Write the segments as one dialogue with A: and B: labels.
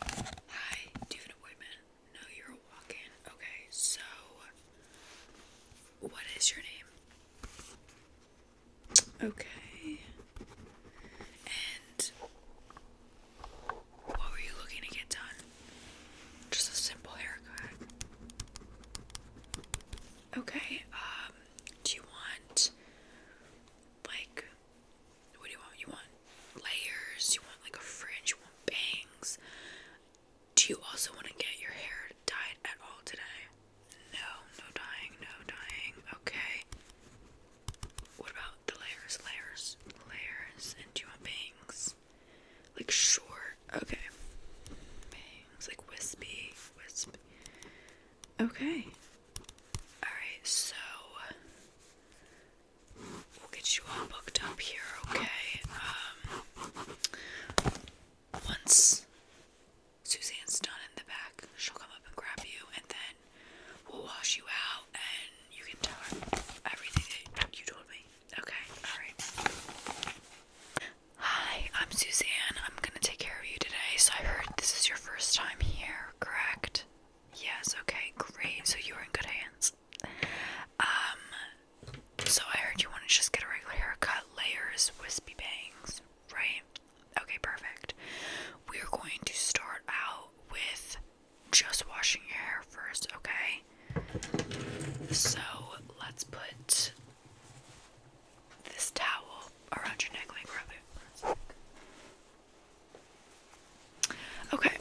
A: Hi, do you have an appointment? No, you're a walk in. Okay, so what is your name? Okay. And what were you looking to get done? Just a simple haircut. Okay, um, do you want like what do you want? You want layers? You want like a fringe? You want bangs? Do you also want to get your hair dyed at all today? No, no dyeing, no dyeing. Okay. What about the layers? Layers, layers, and do you want bangs? Like short, okay. Bangs, like wispy, wispy. Okay. Alright, so we'll get you all booked up here, okay? Um, once Suzanne's done in the back, she'll come up and grab you, and then we'll wash you out, and you can tell her everything that you told me. Okay, alright. Hi, I'm Suzanne. I'm gonna take care of you today. So I heard this is your first time here correct? Yes, okay, great. So you are in good hands. Um, so I heard you want to just get a regular haircut, layers, wispy bangs, right? Okay, perfect. We are going to start out with just washing your hair first, okay? So let's put this towel around your neck like rub it. Okay.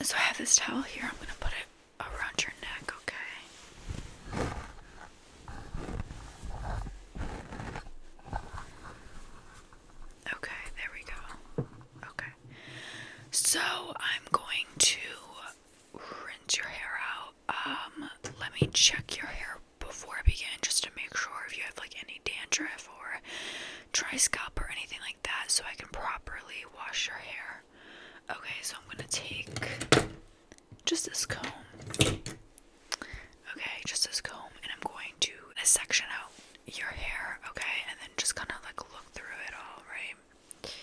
A: So I have this towel here. I'm going to put it around your neck, okay? Okay, there we go. Okay. So I'm going to rinse your hair out. Um, let me check your hair before I begin just to make sure if you have like any dandruff or dry or anything like that so I can properly wash your hair. Okay, so I'm going to take just this comb. Okay, just this comb and I'm going to section out your hair, okay? And then just kind of like look through it all, right?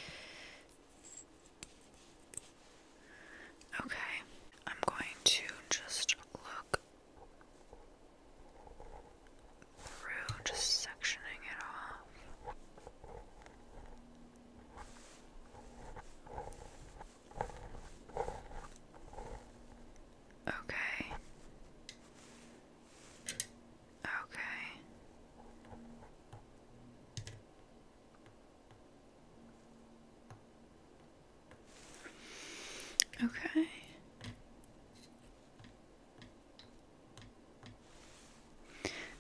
A: Okay, I'm going to just look through, just sectioning it off. Okay. Okay. Okay.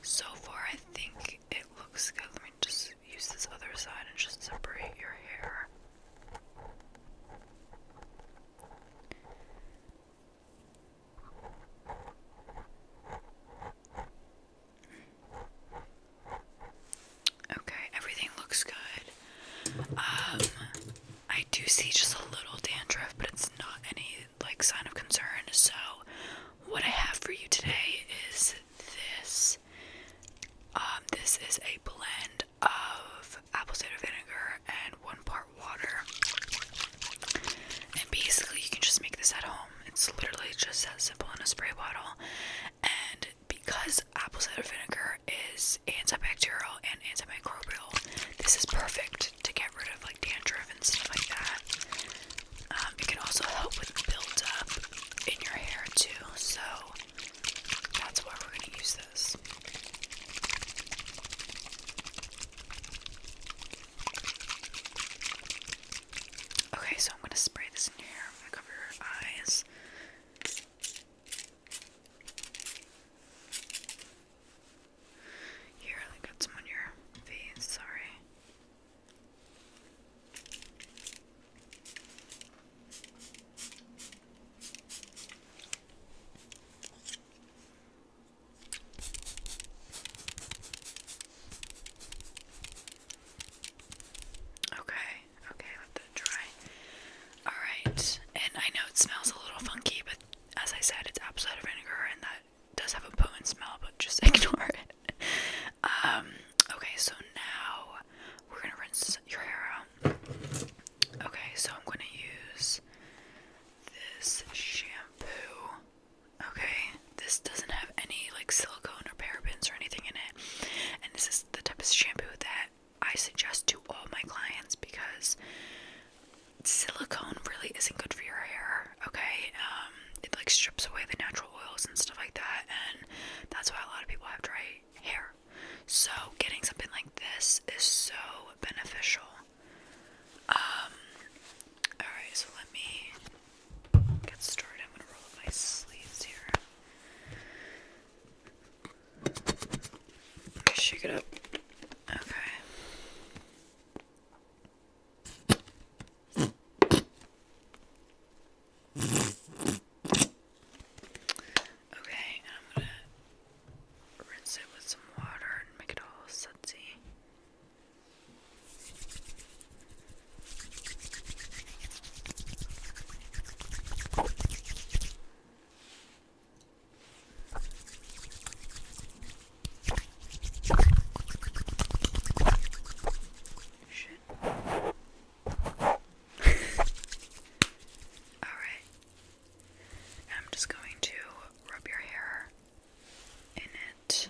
A: So far, I think it looks good. Let me just use this other side and just separate your hair. Okay, everything looks good. Um, I do see just a little dandruff, but it's not any like sign of concern. So, what I have for you today is this. Um, this is a blend of apple cider vinegar and one part water. And basically, you can just make this at home. It's literally just as simple in a spray bottle. And because apple cider vinegar is antibacterial and antimicrobial, this is perfect to get rid of like dandruff and stuff like that. Um, it can also help with buildup in your hair too, so that's why we're going to use this. Okay, so I'm going to spray this in your hair. I'm going to cover your eyes else. You got some on your face, sorry. Okay, okay, let that dry. Alright, and I know it smells a little funky, but as I said, it's apple cider vinegar and that does have a potent smell, but just ignore it. Um, okay, so now we're gonna rinse your hair out. Okay, so I'm gonna use this shampoo. Okay, this doesn't have any like silicone or parabens or anything in it. And this is the type of shampoo that I suggest to all my clients because silicone really isn't good for your hair, okay? Um, it like strips away the natural oils and stuff like that, and that's why a lot of people have dry hair. So, getting something like this is so beneficial. Um, alright, so let me get started, I'm gonna roll up my sleeves here. Shake it up. Okay. Okay, I'm gonna rinse it with some water and make it all sudsy. Shit. Alright. I'm just going to rub your hair in it.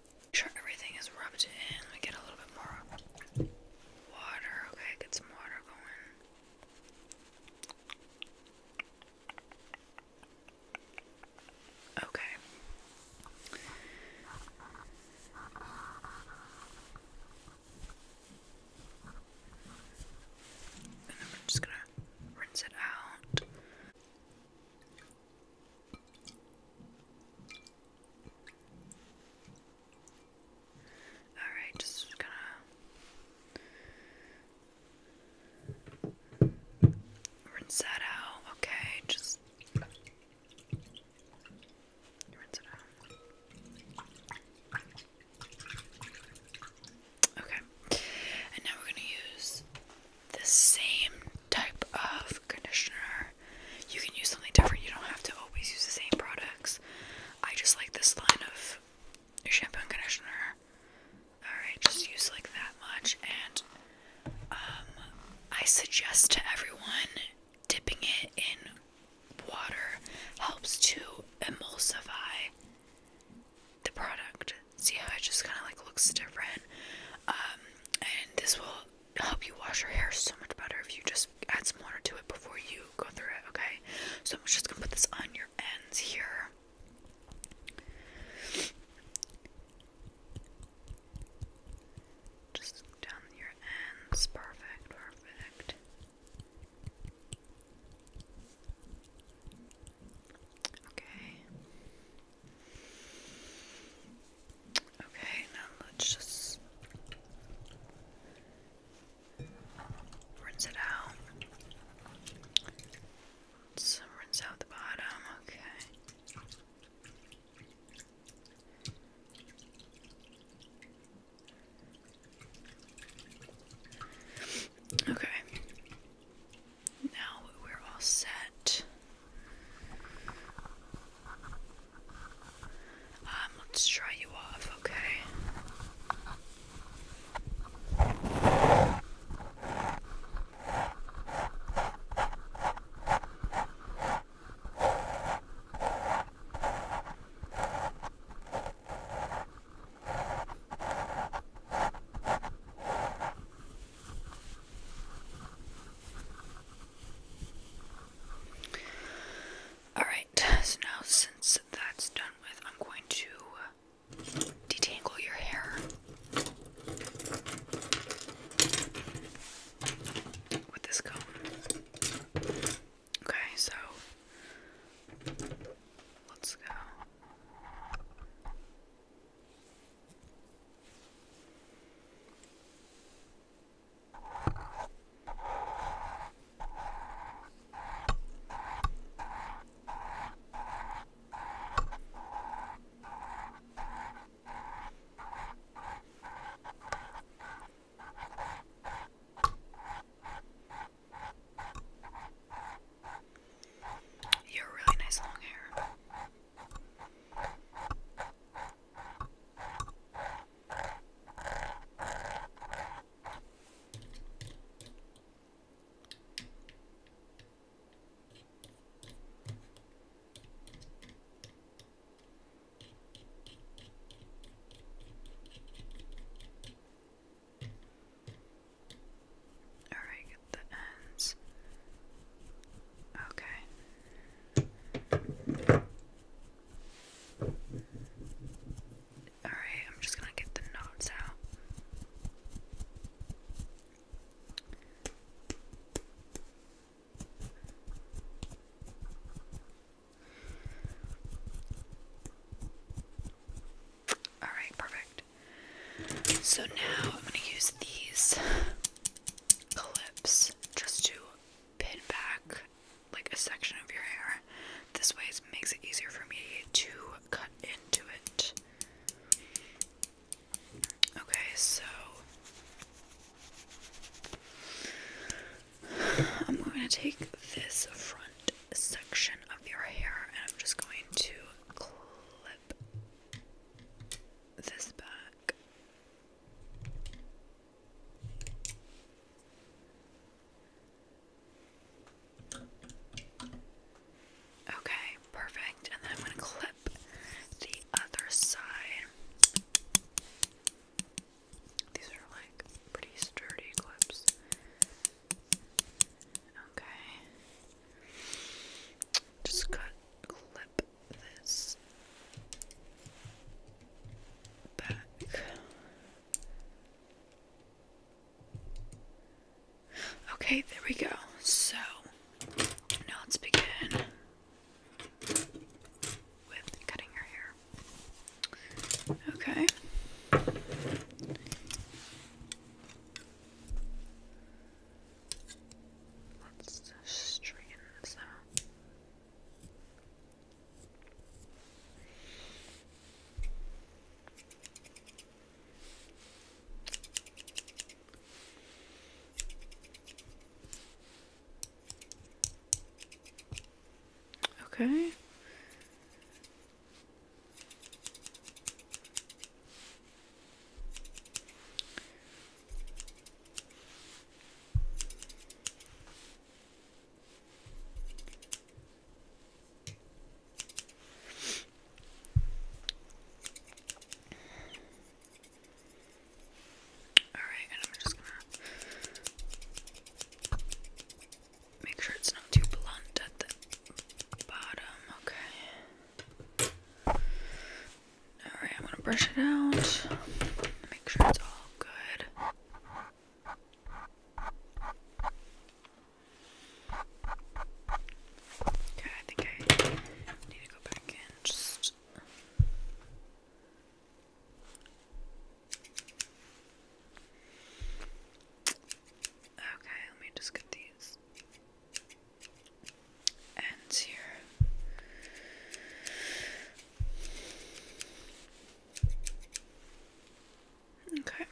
A: Make sure everything is rubbed in. Let me get a little bit more water. Okay, get some water going. Okay. And then we're just gonna rinse it out. Alright, just gonna rinse that out. Okay, just rinse it out. Okay, and now we're gonna use the same type of conditioner you can use something different. You don't have to always use the same products. I just like this line of shampoo and conditioner. Alright, just use like that much. And um, I suggest to everyone dipping it in water helps to emulsify the product. See how it just kind of like looks different? Um, and this will help you wash your hair so much better if you just add some water to it before you go through it, okay? So I'm just gonna put this on your ends here. Just down your ends. Perfect, perfect. Okay. Okay, now let's just rinse it out. Let's rinse out the bottom, okay. Okay. Now we're all set. Um, let's dry you off, okay? Alright, so now since that's done with, I'm going to detangle your hair with this comb. Okay, so let's go. You're really nice long hair. Alright, get the ends. Okay. Alright, I'm just gonna get the notes out. Alright, perfect. So now I'm going to use these clips just to pin back like a section of your hair. This way it makes it easier for me to cut into it. Okay, so I'm going to take this front section of your hair and I'm just going to clip this back Okay, perfect. And then I'm going to clip the other side. These are like pretty sturdy clips. Okay. Just cut clip this back. Okay, there we go. So now let's begin with cutting her hair. Okay. Let's straighten this out. Okay. All right, and I'm just gonna make sure it's not too blunt at the bottom. Okay. Alright, I'm gonna brush it out. Make sure it's all good. Okay, I think I need to go back in just Okay, let me just get these ends here. Okay.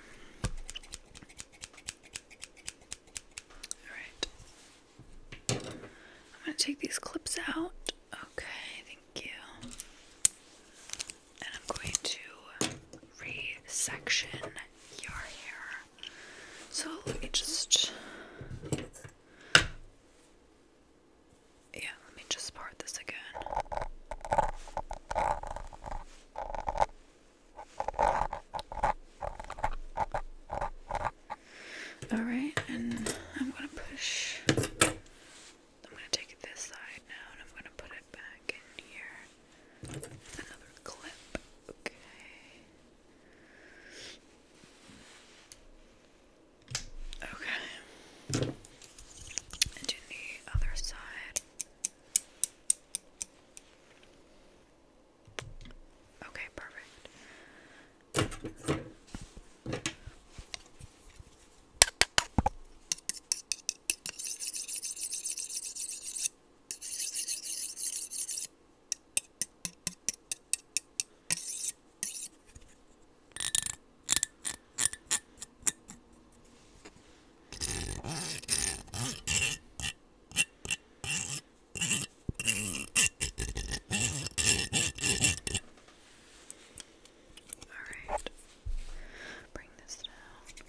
A: All right. I'm going to take these clips out. Okay, thank you. And I'm going to resection your hair. So let me just. Yeah, let me just part this again. Alright, and I'm gonna push. I'm gonna take this side now and I'm gonna put it back in here another clip. Okay. Okay. And the other side. Okay, perfect. All right. Bring this down.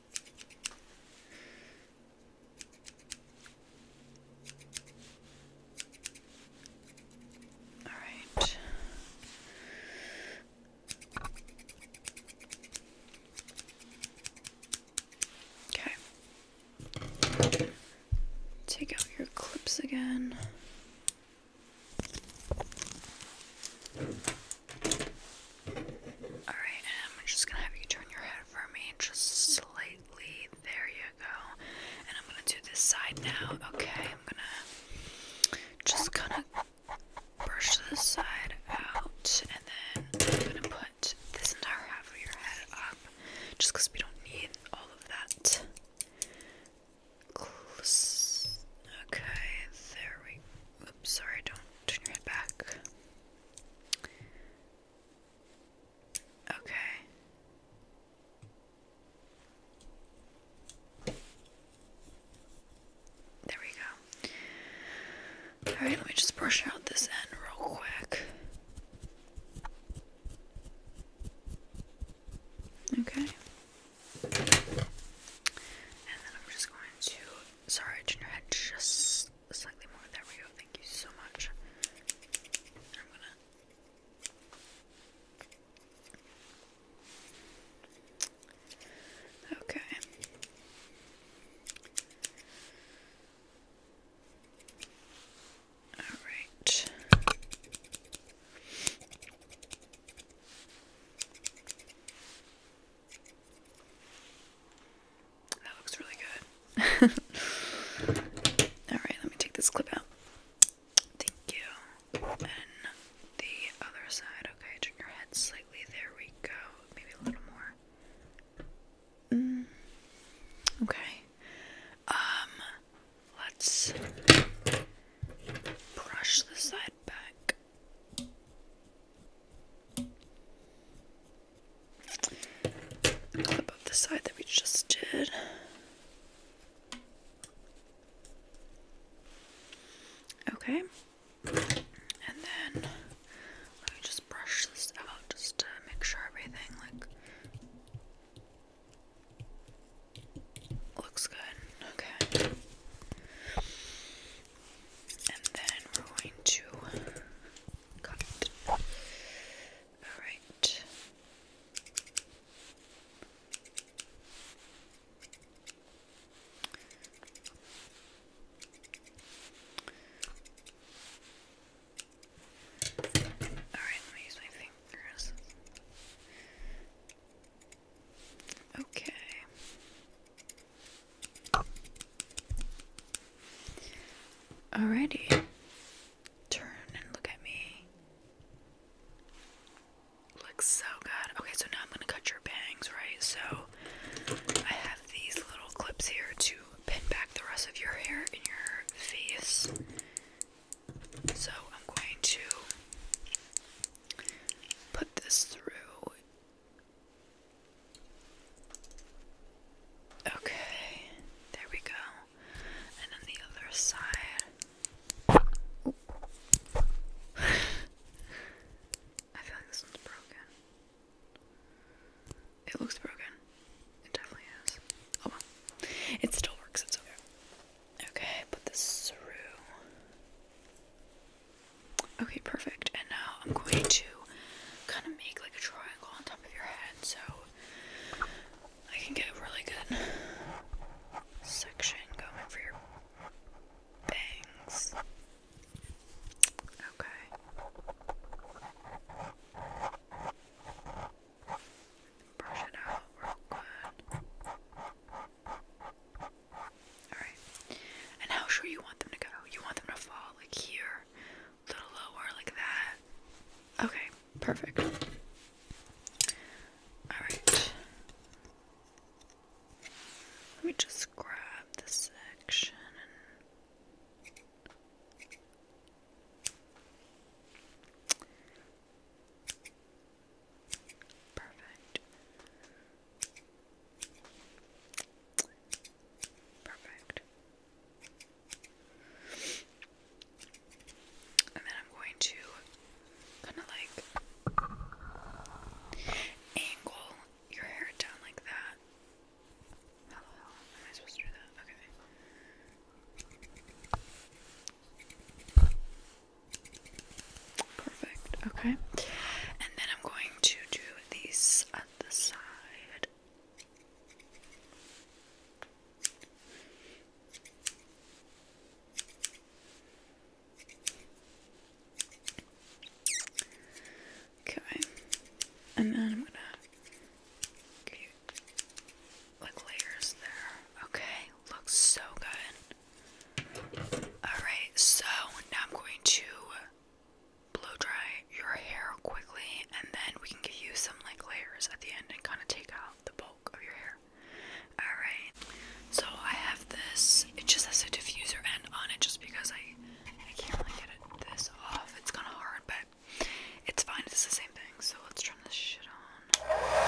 A: All right. Okay. Take out your clips again. Alright, um, I'm just gonna have you turn your head for me just slightly. There you go. And I'm gonna do this side now. Okay, I'm gonna just kind of brush this side out and then I'm gonna put this entire half of your head up just because we don't need all of that. Okay, there we Oops, sorry, don't turn your head back. Okay. There we go. Alright, let me just brush out this end real quick. Okay. And then I'm just going to. Sorry, I just slightly more. There we go. Thank you so much. Okay. All right. That looks really good. Alright, let me take this clip out. Thank you. And the other side. Okay, turn your head slightly. There we go. Maybe a little more. Mm, okay. Um, let's brush the side back above the side that we just did. Okay, and then let me just brush this out just to make sure everything like looks good. Okay and then we're going to cut. All right. All right, let me use my fingers. Okay. Alrighty. Turn and look at me. Looks so good. Okay, so now I'm gonna cut your bangs, right? So I have these little clips here to pin back the rest of your hair in your face. So I'm going to put this through Okay, there we go. And then the other side. I feel like this one's broken. It looks broken. It definitely is. Oh It still works, it's okay. Okay, put this through. Okay, perfect. And now I'm going to kind of make like a triangle on top of your head so I can get a really good section going for your bangs. Okay. Brush it out real good. Alright. And how sure you want them to go? You want them to fall like here, a little lower, like that. Okay, perfect. Alright. Let me just grab this section Perfect. Perfect. And then I'm going to kind of like angle your hair down like that. How hell am I supposed to do that? Okay. Perfect. Okay. And then I'm going to do these at the side. Okay. And then I'm gonna like layers there. Okay, looks so good. Alright, so now I'm going to blow dry your hair quickly, and then we can give you some like layers at the end and kind of take out the bulk of your hair. Alright, so I have this, it just has a diffuser end on it just because I, I can't really get it this off. It's kind of hard, but it's fine, it's the same thing. So let's turn this shit on.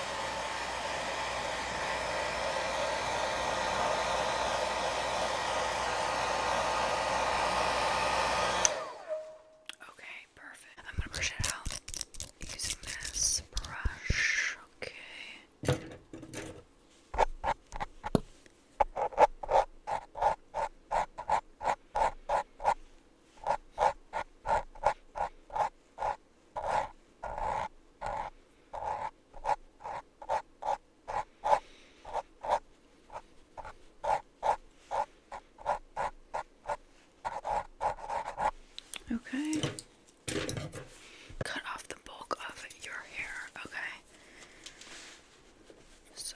A: Okay, perfect. I'm gonna brush it out using this brush. Okay. Okay, Okay. Cut off the bulk of your hair. Okay. So.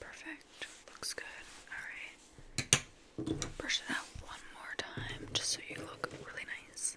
A: Perfect. Looks good. Alright. Brush it out one more time just so you look really nice.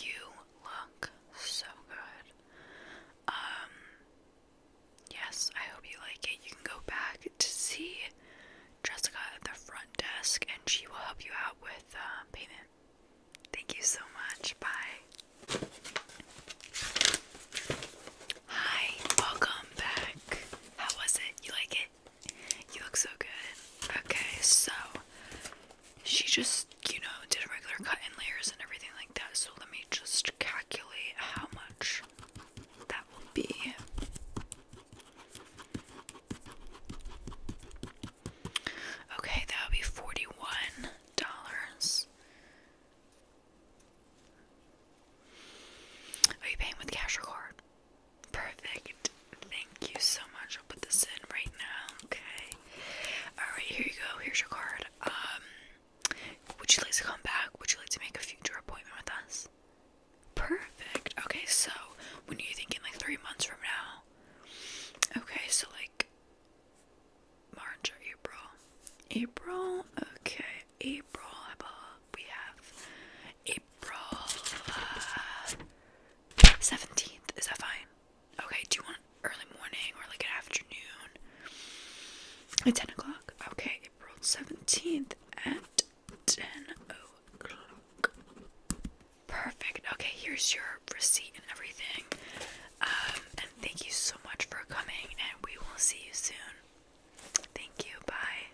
A: You look so good. Um yes, I hope you like it. You can go back to see Jessica at the front desk and she will help you out with uh, payment. Thank you so much. Bye. Hi, welcome back. How was it? You like it? You look so good. Okay, so she just, you know, did regular cut in layers and everything like that. So let me just calculate how much that will be. Okay, that would be forty-one dollars. Are you paying with cash or card? Perfect. Thank you so much. I'll put this in right now, okay? Alright, here you go. Here's your card. Um, would you like to come back? Would you like to make a future appointment with us? Perfect. Okay, so when are you thinking like three months from now? Okay, so like March or April? April? Okay, April. We have April uh, seventeenth. Is that fine? Okay. Do you want early morning or like an afternoon? At ten o'clock. Okay, April seventeenth at ten o'clock. Perfect. Okay, here's your receipt and everything. Um, and thank you so much for coming, and we will see you soon. Thank you. Bye.